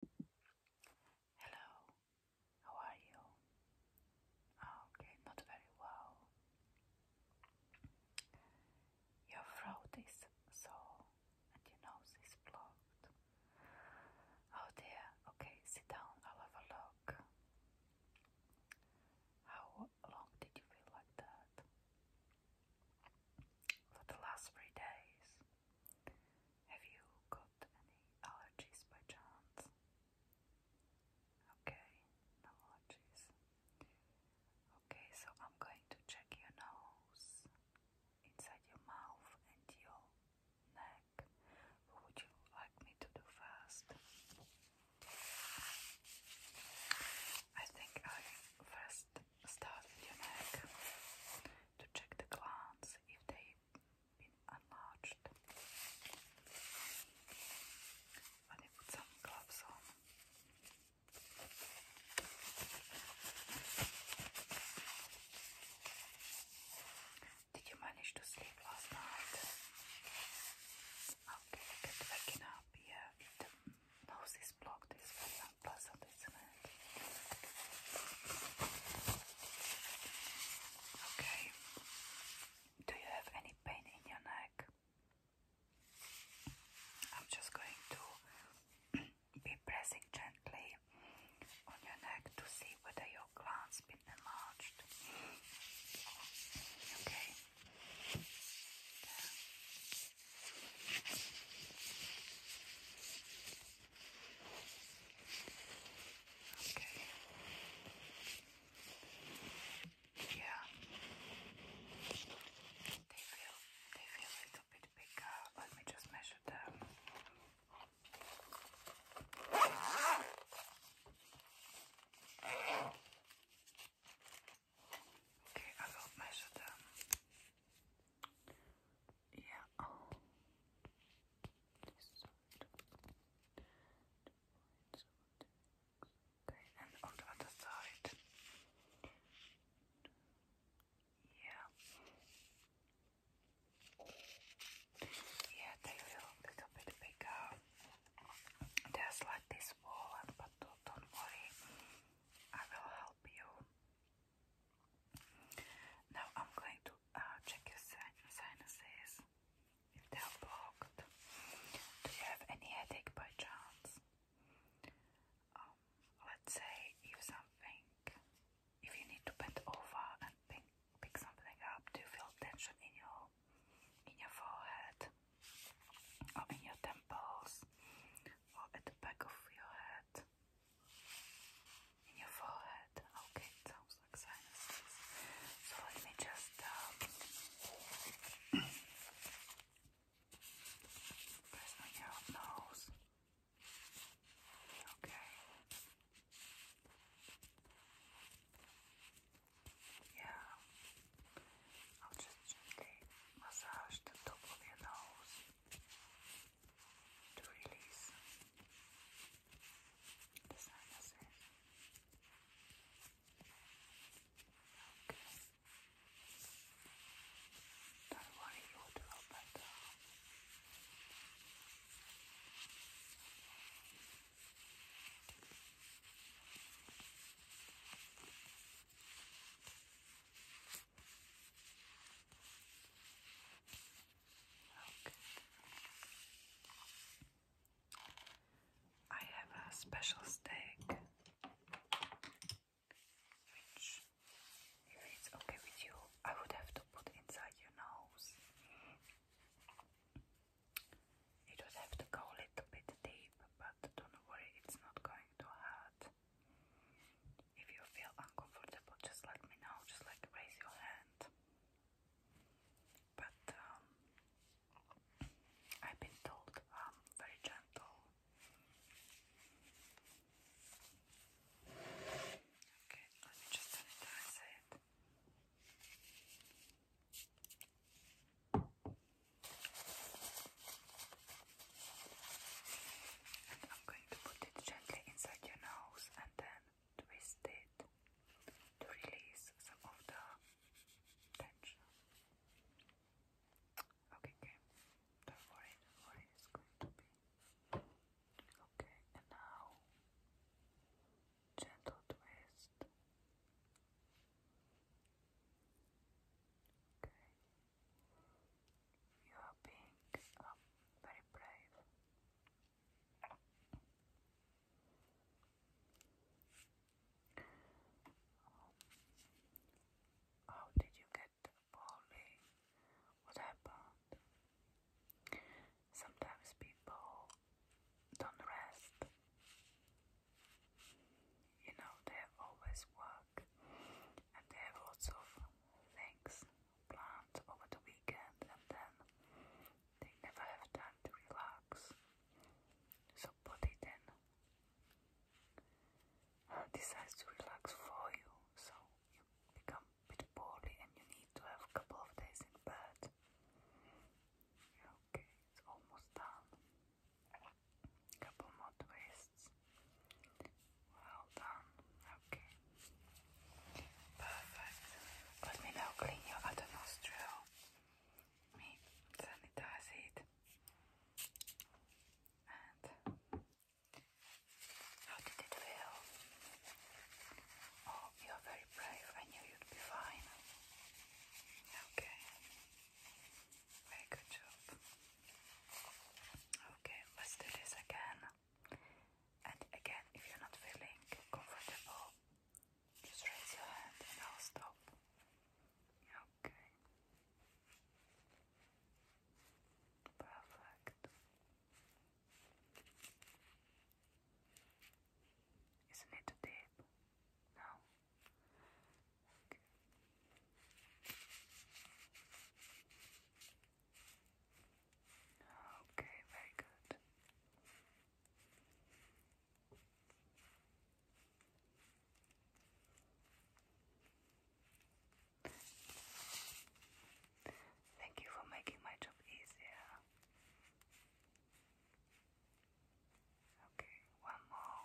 Hello, how are you? Oh, okay, not very well. Your throat is sore and your nose is blocked. Oh dear, okay, sit down, I'll have a look. How long did you feel like that? For the last three days. Have you got any allergies by chance? Okay, no allergies. Okay, so I'm going to check your nose, inside your mouth, and your neck. would you like me to do first? I think I first start your neck to check the glands if they've been enlarged. Let me put some gloves on. Did you manage to sleep last night? Okay, get waking up. Yeah, nose is blocked, it's very put Okay. Do you have any pain in your neck? I'm just going to be pressing gently on your neck to see whether your gland been enlarged. Okay. Okay. Yeah. They feel they feel a little bit bigger. Let me just measure them. Okay, I will measure them. Yeah. Oh. Okay, and on the side. Yeah. Yeah, they feel a little bit bigger. Just like this wall, but don't worry. I will help you now I'm going to uh, check your sinuses if they are blocked. Do you have any headache by chance? Um, let's say if something, if you need to bend over and pick, pick something up, do you feel tension in your in your forehead or in your temples or at the back of your head? in your forehead. Okay, it sounds like sinuses. So let me just um, press on your nose. Okay. Yeah. I'll just gently massage the top of your nose to release the sinuses. Okay. Don't worry, you will do better. Okay. Oh, I have a special steak, which, if it's okay with you, I would have to put inside your nose. It would have to go a little bit deep, but don't worry, it's not going to hurt. If you feel uncomfortable, just let me know. Just like raise your hand. But um, I've been told I'm um, very gentle. Okay, let me just sanitize it. I'm going to put it gently inside your nose and then twist it to release some of the tension. Okay, okay. Don't worry, do worry, it's going to be okay. And now, gentle twist. Okay. You are being um, very brave. Um, how did you get balding? What happened? Sometimes people don't rest. You know, they always work park. And they have lots of things planned over the weekend, and then they never have time to relax. So, body then decides to relax for you, so you become a poorly and you need to have a couple of days in bed. Okay, it's almost done. Couple more twists. Well done. Okay. Perfect. Let me now clean your other nostril. me sanitize And how did it feel? Oh, you're very brave. I knew you'd be fine. Okay. Very good job. Okay, let's do this again. And again, if you're not feeling comfortable, just raise your hand and I'll stop. Okay. Perfect. Isn't it too deep? No. Okay, very good. Thank you for making my job easier. Okay, one more.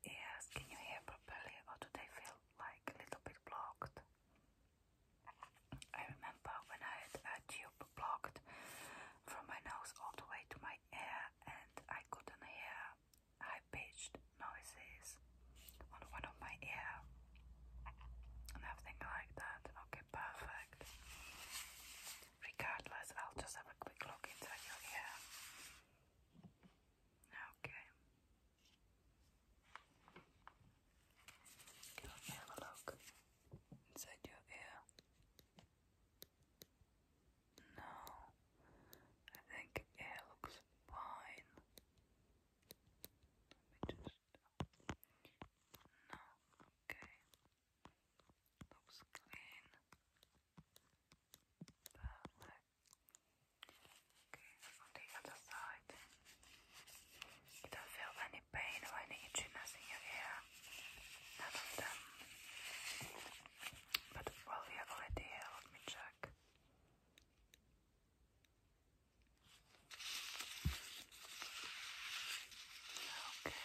Yes, Can you hear properly or do they feel like a little bit blocked? I remember when I had a tube blocked from my nose all the way to my ear and I couldn't hear high pitched noises on one of my ear. Nothing like that. Okay, perfect. Regardless, I'll just have a quick look into your ear. Okay. Let me have a look inside your ear. No, I think ear looks fine. No, okay. Looks clean. Perfect. Okay, on the other side. You don't feel any pain or any itchiness in your ear. None of them. But well, we are already here. Let me check. Okay.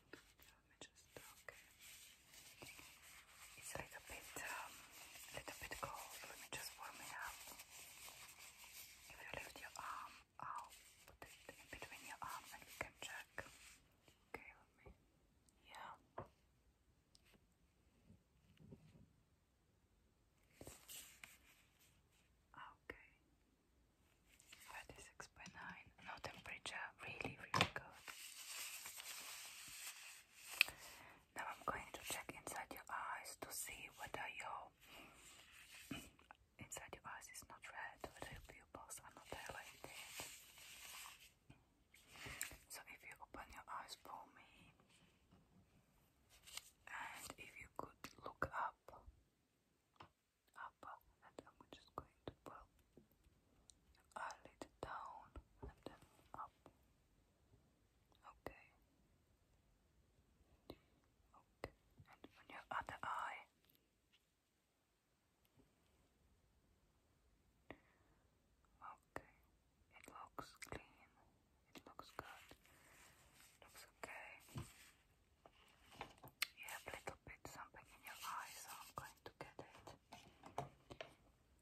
Let me just okay. It's a little bit, um, a little bit cold. Let me just warm it up. If you lift your arm, I'll put it between your arm and we can check. Okay, let me. Yeah. Okay. 36 No temperature, really, really good. Now I'm going to check inside your eyes to see whether your inside your eyes is not red, whether pupils are not dilated. So if you open your eyes for me, and if you could look up up and I'm just going to pull a little down and then up. Okay. Okay. And on your other eye. Okay. It looks clean. It looks good. Looks okay. You have a little bit something in your eye, so I'm going to get it.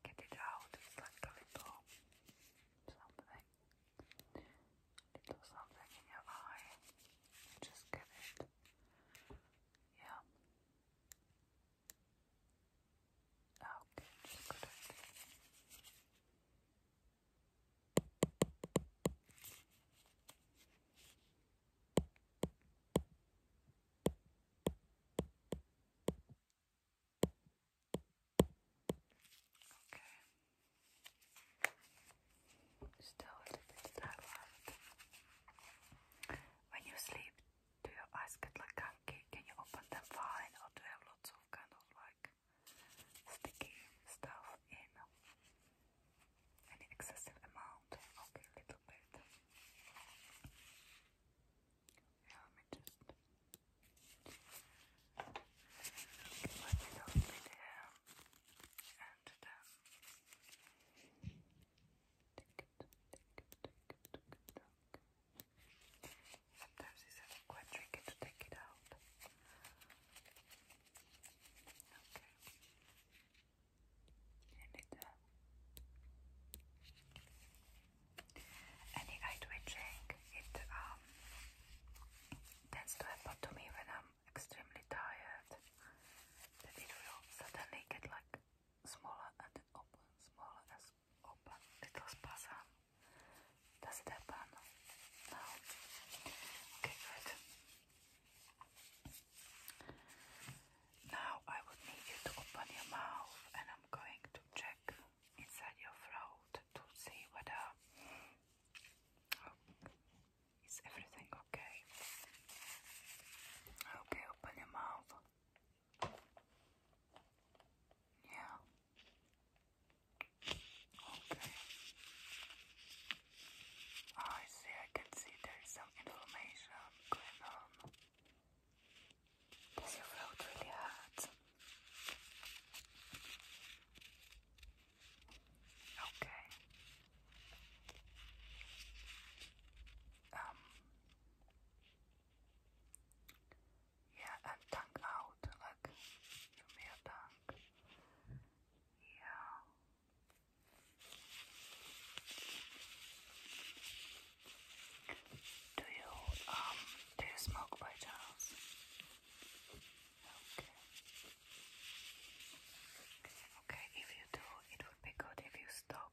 Get it out. It's like a little something. Little something in your eye. You just get it. Yeah. Okay, just got it. Still a little bit dry When you sleep, do your eyes get like gunky? Can you open them fine, or do you have of kind like sticky stuff in? An excessive amount. Okay, a little bit. Yeah, let me just. let it out with And then. Take it, take it, take it, take it, take it. Sometimes it's quite tricky to take it out. Okay. Limiter. Uh, any eye twitching, it um, tends to happen to me when I'm extremely tired. That it will suddenly get like smaller and then open, smaller and open, little spasm. Does it happen? Okay, good. Now I would need you to open your mouth and I'm going to check inside your throat to see whether oh, everything okay. Okay, open your mouth. Yeah. Okay. Oh, I see, I can see there's some inflammation going on. Does your throat really hurt? Okay. Um. Yeah, and tongue out, like, to me a Yeah. Do you um do you smoke by Okay. Okay, if you do, it would be good if you stopped.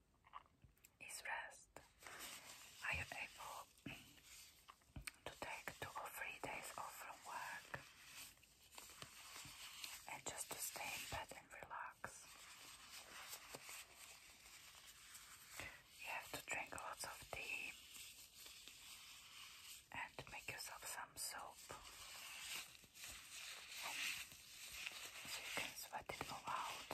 is rest. Are you able to take two or three days off from work and just to stay in bed and relax? You have to drink lots of tea and make yourself some soap so you can sweat it all out.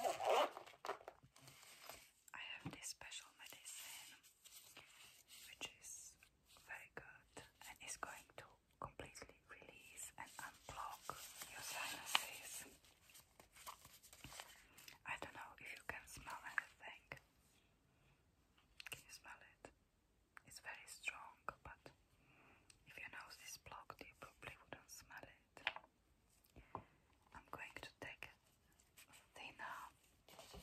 I have this special medicine which is very good and is going to completely release and unblock your sinuses. I don't know if you can smell anything. Can you smell it? It's very strong, but if your nose is blocked, you probably wouldn't smell it. I'm going to take it. thinner thinner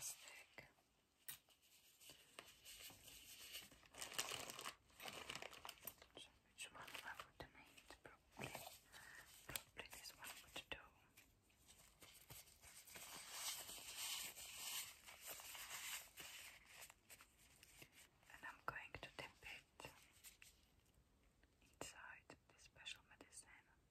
stick. which one I would need? Probably, probably this one would do. And I'm going to dip it inside this special medicine. And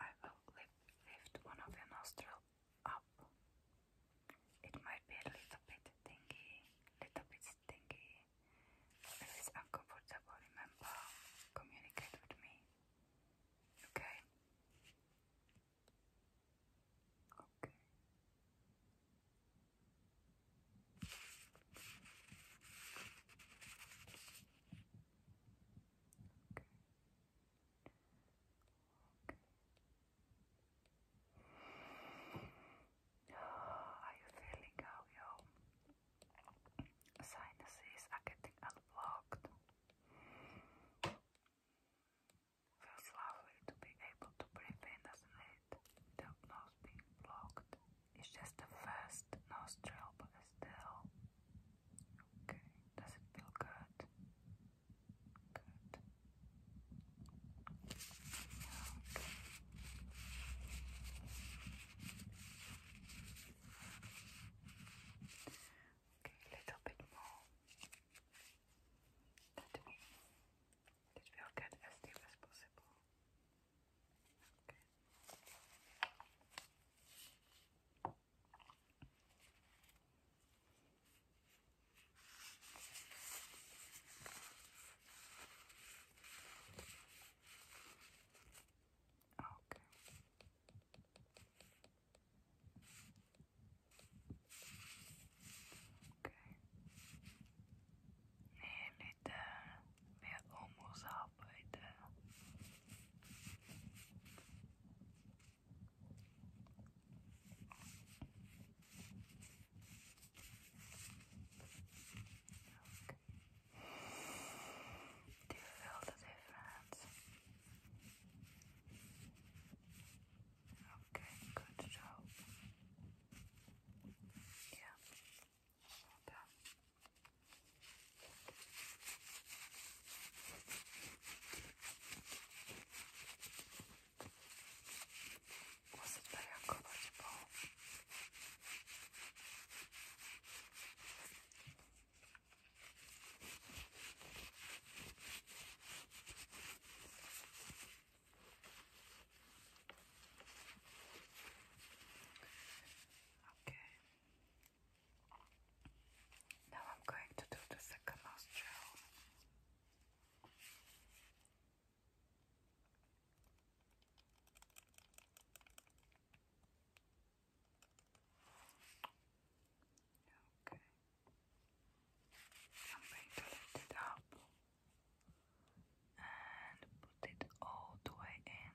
I will lift, one of your nostrils up. It might be a little bit dingy, little bit stingy. it's uncomfortable, remember, communicate with me. Okay. Okay. Okay. Are you feeling how your sinuses are getting unblocked? Feels lovely to be able to breathe in, doesn't it? Without nose being blocked. It's just the first nostril, but still. Okay, does it feel good? Okay, little bit more. Let me. It will get as deep as possible. Okay. Okay. Okay. Nee, niet uh, eh, meer onmoes arbeiten. Do you feel the difference? Okay, good job. Yeah. Okay. Good. Wasn't very uncomfortable. Okay. Now I'm going to do the second nostril. Okay. I'm going to lift it up and put it all the way in.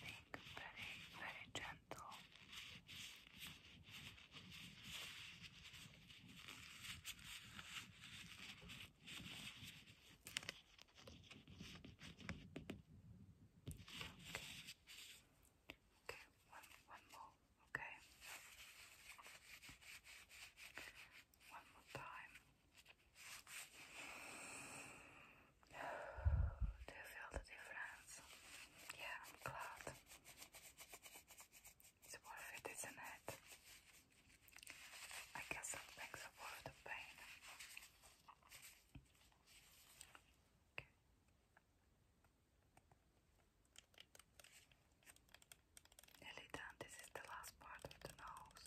think very, very gentle. Okay. Okay, one one more, okay. One more time. Do you feel the difference? Yeah, I'm glad. It's worth it, isn't it? I guess some things are worth the pain. Okay. Nearly done. This is the last part of the nose.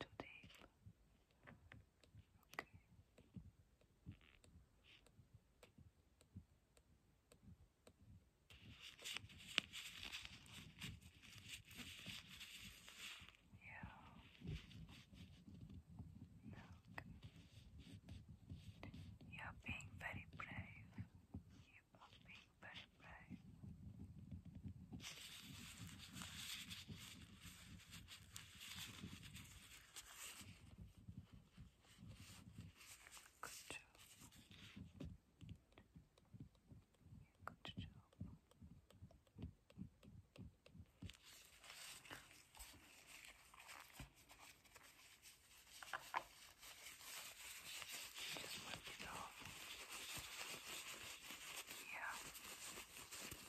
too Okay. Yeah. Look. You are being very brave. You are being very brave. Good job. Good job. Just work it off. Yeah.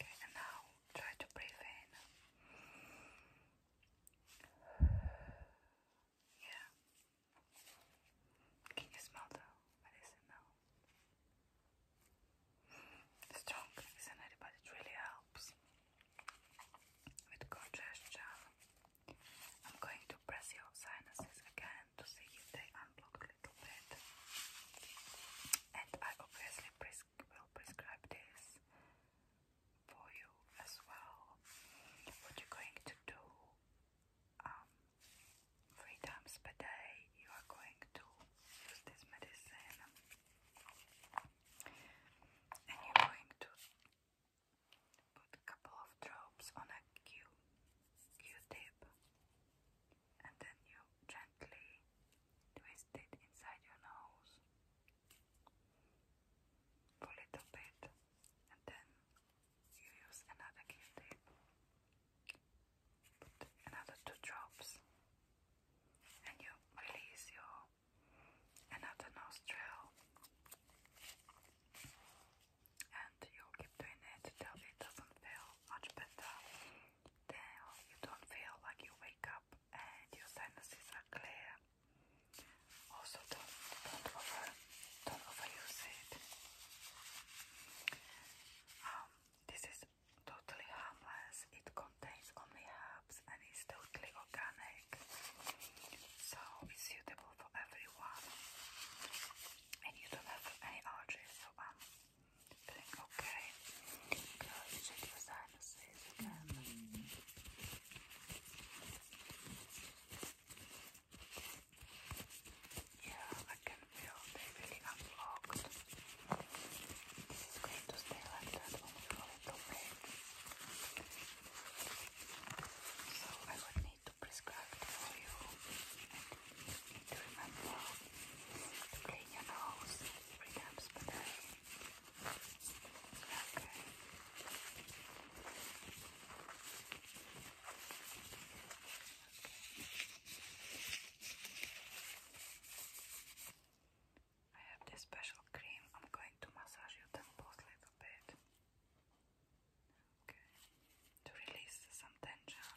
and now try to breathe in. Yeah. Can you smell the medicine Strong, isn't it? Eh? But it really helps with congestion. I'm going to press your sinuses again to see if they unblock a little bit. And I obviously will prescribe this for you as well. What you're going to do um, three times per day, you are going to use this medicine and you're going to put a couple of drops on a Q Q tip and then you gently twist it inside your nose for a little bit, and then you use another gift tape. Put another two drops, and you release your another nostril, and you keep doing it till it doesn't feel much better you don't feel like you wake up and your sinuses are clear. Also, don't over don't overuse it. Um, this is totally harmless. It contains only herbs and is totally organic, so it's suitable for everyone. And you don't have any allergies, um, Feeling okay? Good. Check your sinuses again. Yeah, I can feel they really unblocked. This is going to stay like that when we go into So I would need to prescribe it for you. you need to remember to clean your nose three times per day. I have this special cream. I'm going to massage your temples a little bit. Okay. To release some tension.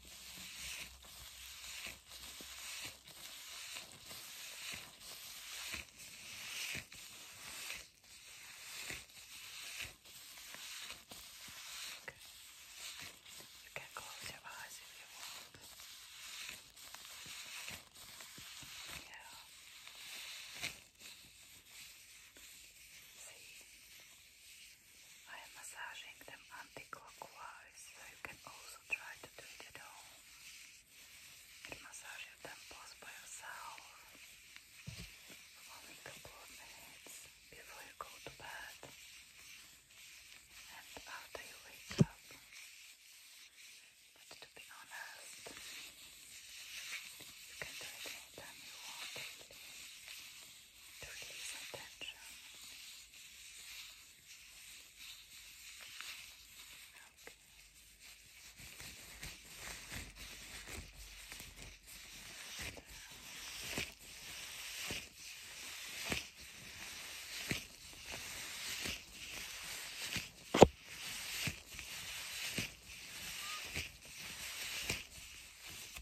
Okay. You can close your eyes if you want. Yeah. See? I am massaging them anti-clockwise, so you can also try to do it at home. massage your temples by yourself for a couple of minutes before you go to bed. And after you wake up. But to be honest, you can do it anytime you want to release some tension. Okay. Okay.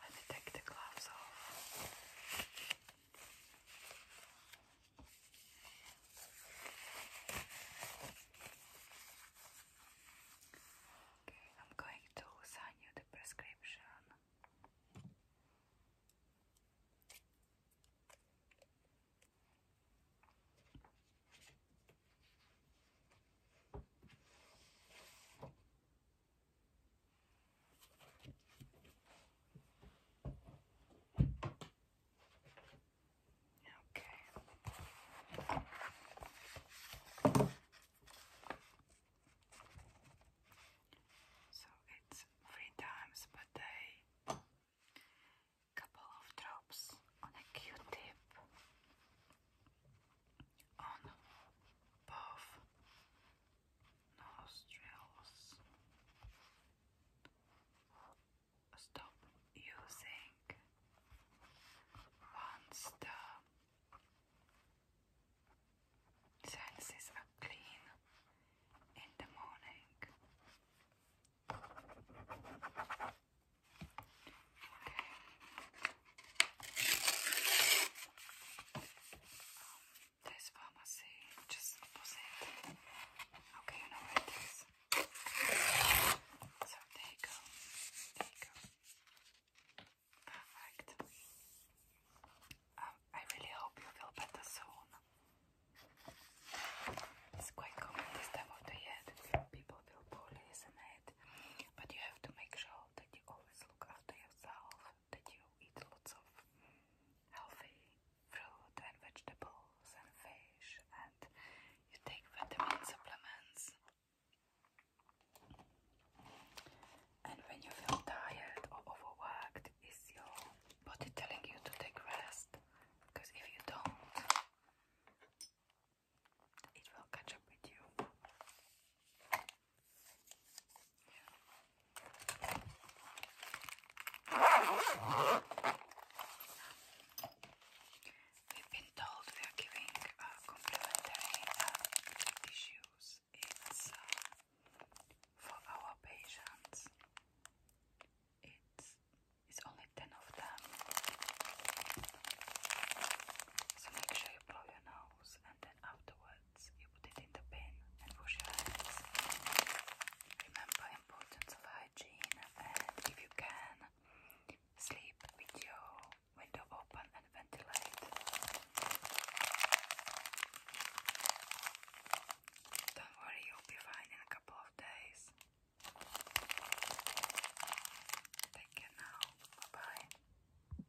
Let me take the gloves off. Okay, I'm going to sign you the prescription. Okay. So it's three times per day. Couple of drops on a Q-tip on both nostrils. Stop using once the senses are clean in the morning. Um, there's pharmacy just opposite. Okay, you know it is. So there you Perfect. Um, I really hope you feel better soon. It's quite common this time of the year people feel poorly, isn't it? But you have to make sure that you always look after yourself that you eat lots of healthy fruit and vegetables and fish and you take vitamin supplements. And when you feel tired or overworked, is your body telling you to take rest? Because if you don't, it will catch up with you. We've been told we are giving uh, complimentary uh, tissues. It's uh, for our patients. It's it's only ten of them. So make sure you blow your nose and then afterwards you put it in the bin and wash your hands. Remember importance hygiene and if you can, sleep with your window open and ventilate. Don't worry, you'll be fine in a couple of days. Take care now. Bye bye.